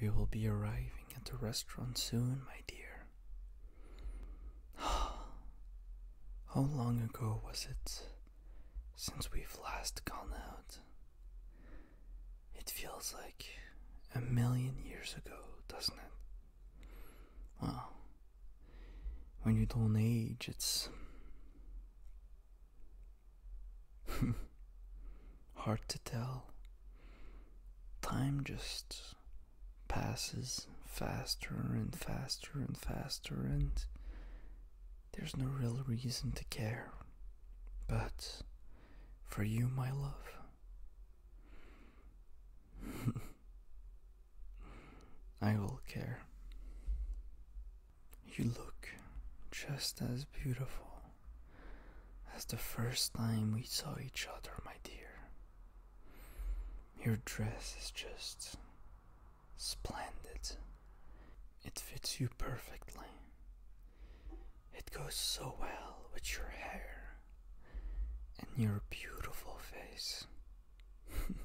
We will be arriving at the restaurant soon, my dear. How long ago was it since we've last gone out? It feels like a million years ago, doesn't it? Well, when you don't age, it's Hard to tell. Time just passes faster and faster and faster, and there's no real reason to care. But for you, my love. I will care. You look just as beautiful that's the first time we saw each other, my dear. Your dress is just splendid. It fits you perfectly. It goes so well with your hair and your beautiful face.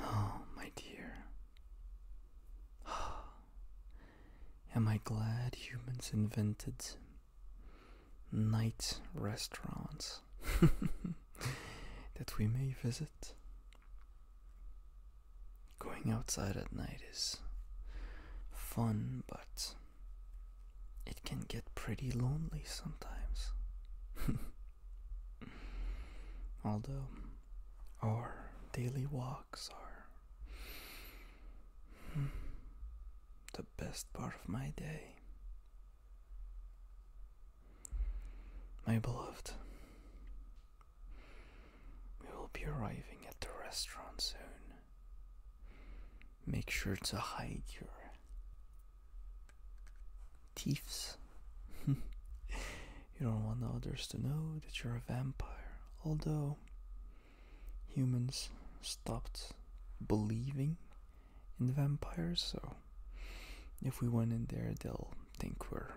oh, my dear. Oh. Am I glad humans invented night restaurants that we may visit? Going outside at night is fun, but it can get pretty lonely sometimes. Although our daily walks are the best part of my day. My beloved, we will be arriving at the restaurant soon. Make sure to hide your thieves. You don't want others to know that you're a vampire. Although humans stopped believing in vampires, so if we went in there, they'll think we're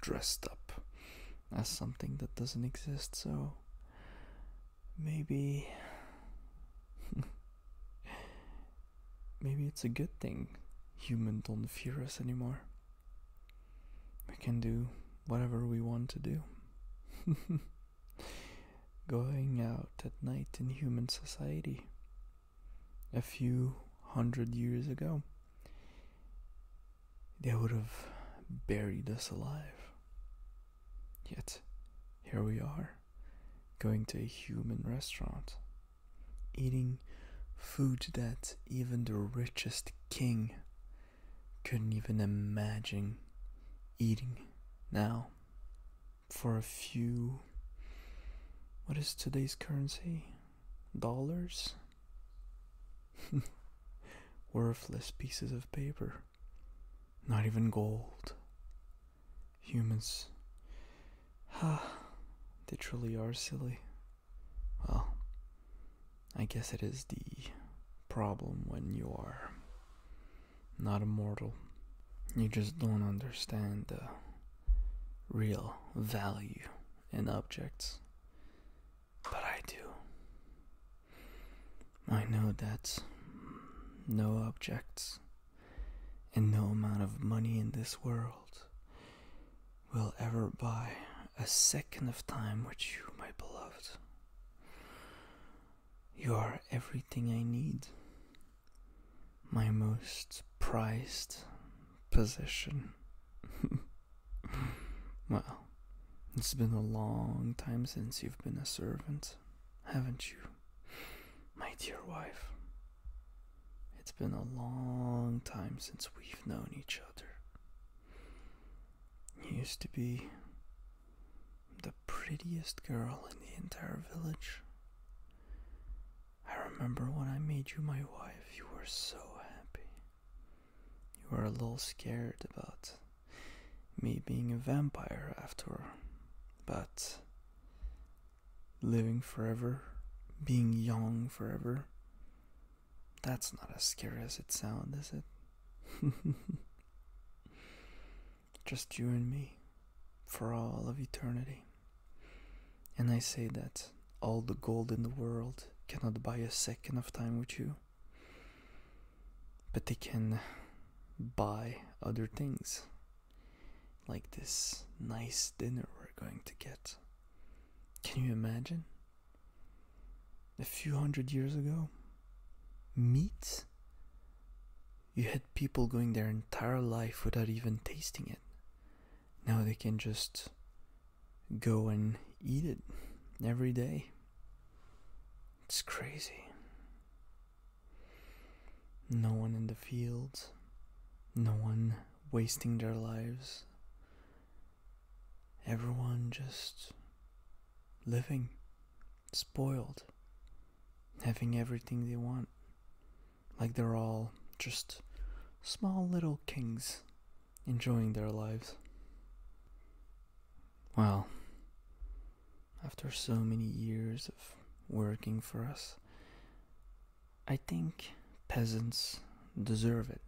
dressed up as something that doesn't exist, so maybe. maybe it's a good thing humans don't fear us anymore we can do whatever we want to do. Going out at night in human society a few hundred years ago, they would have buried us alive. Yet, here we are, going to a human restaurant, eating food that even the richest king couldn't even imagine eating now for a few what is today's currency dollars worthless pieces of paper not even gold humans ha they truly are silly well, I guess it is the problem when you are not immortal. You just don't understand the real value in objects. But I do. I know that no objects and no amount of money in this world will ever buy a second of time with you, my beloved. You are everything I need, my most prized possession. well, it's been a long time since you've been a servant, haven't you, my dear wife? It's been a long time since we've known each other. You used to be the prettiest girl in the entire village. I remember when I made you my wife, you were so happy. You were a little scared about me being a vampire after, but living forever, being young forever, that's not as scary as it sounds, is it? Just you and me for all of eternity. And I say that all the gold in the world cannot buy a second of time with you, but they can buy other things, like this nice dinner we're going to get. Can you imagine? a few hundred years ago. Meat? You had people going their entire life without even tasting it. Now they can just go and eat it every day. It's crazy. No one in the fields, no one wasting their lives, Everyone just living, spoiled, having everything they want. Like they're all just small little kings enjoying their lives. Well, after so many years of working for us, I think peasants deserve it.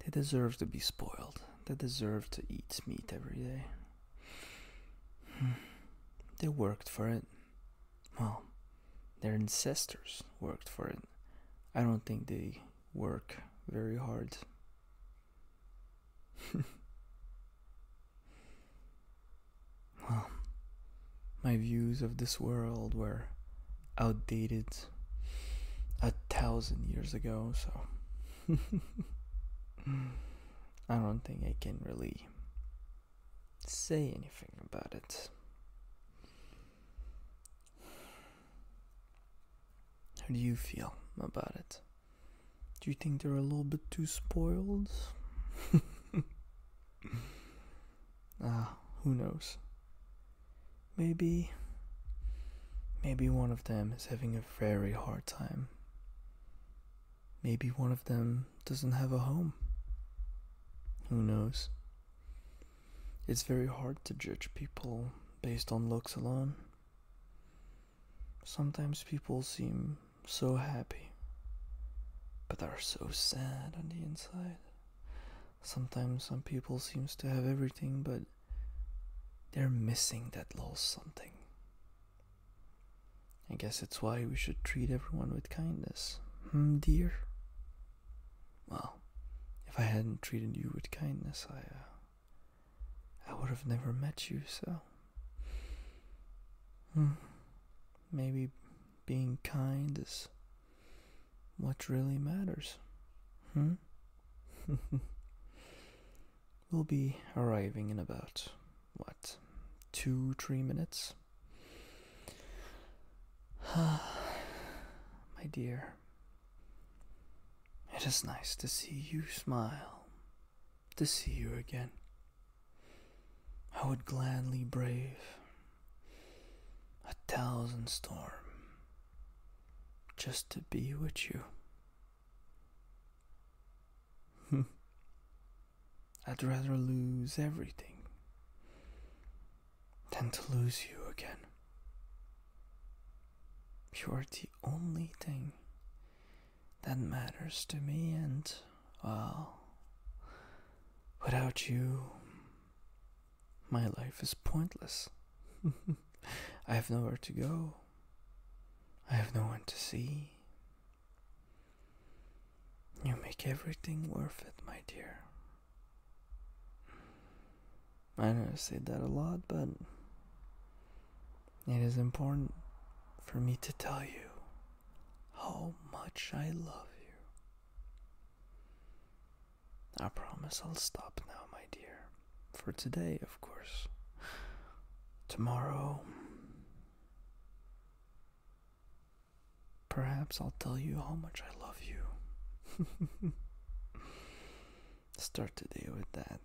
They deserve to be spoiled. They deserve to eat meat every day. They worked for it. Well, their ancestors worked for it. I don't think they work very hard. well, my views of this world were outdated a thousand years ago, so I don't think I can really say anything about it. How do you feel about it? Do you think they're a little bit too spoiled? Ah, who knows? Maybe. Maybe one of them is having a very hard time. Maybe one of them doesn't have a home. Who knows? It's very hard to judge people based on looks alone. Sometimes people seem so happy, but are so sad on the inside. Sometimes some people seems to have everything but they're missing that little something. I guess it's why we should treat everyone with kindness, hmm, dear? Well, if I hadn't treated you with kindness, I, uh, I would have never met you, so. Hmm, maybe being kind is what really matters? Hmm? we'll be arriving in about, what, two, three minutes? My dear, it is nice to see you smile, to see you again. I would gladly brave a thousand storm just to be with you. I'd rather lose everything than to lose you again. You are the only thing that matters to me, and well, without you, my life is pointless. I have nowhere to go. I have no one to see. You make everything worth it, my dear. I know I say that a lot, but it is important for me to tell you how much I love you. I promise I'll stop now, my dear. For today, of course. Tomorrow. Perhaps I'll tell you how much I love you. Start today with that.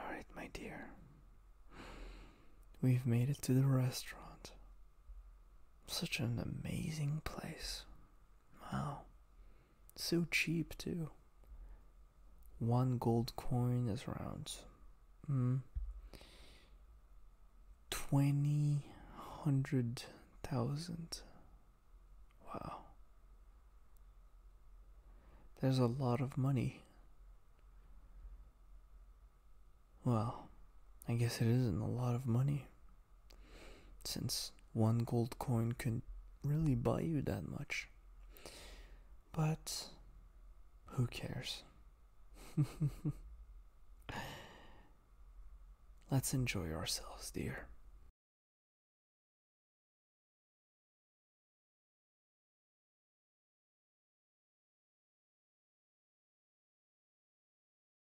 Alright, my dear. We've made it to the restaurant. Such an amazing place. Wow. So cheap, too. One gold coin is around mm, 20 hundred thousand. Wow. There's a lot of money. Well, I guess it isn't a lot of money since one gold coin couldn't really buy you that much. But who cares? Let's enjoy ourselves, dear.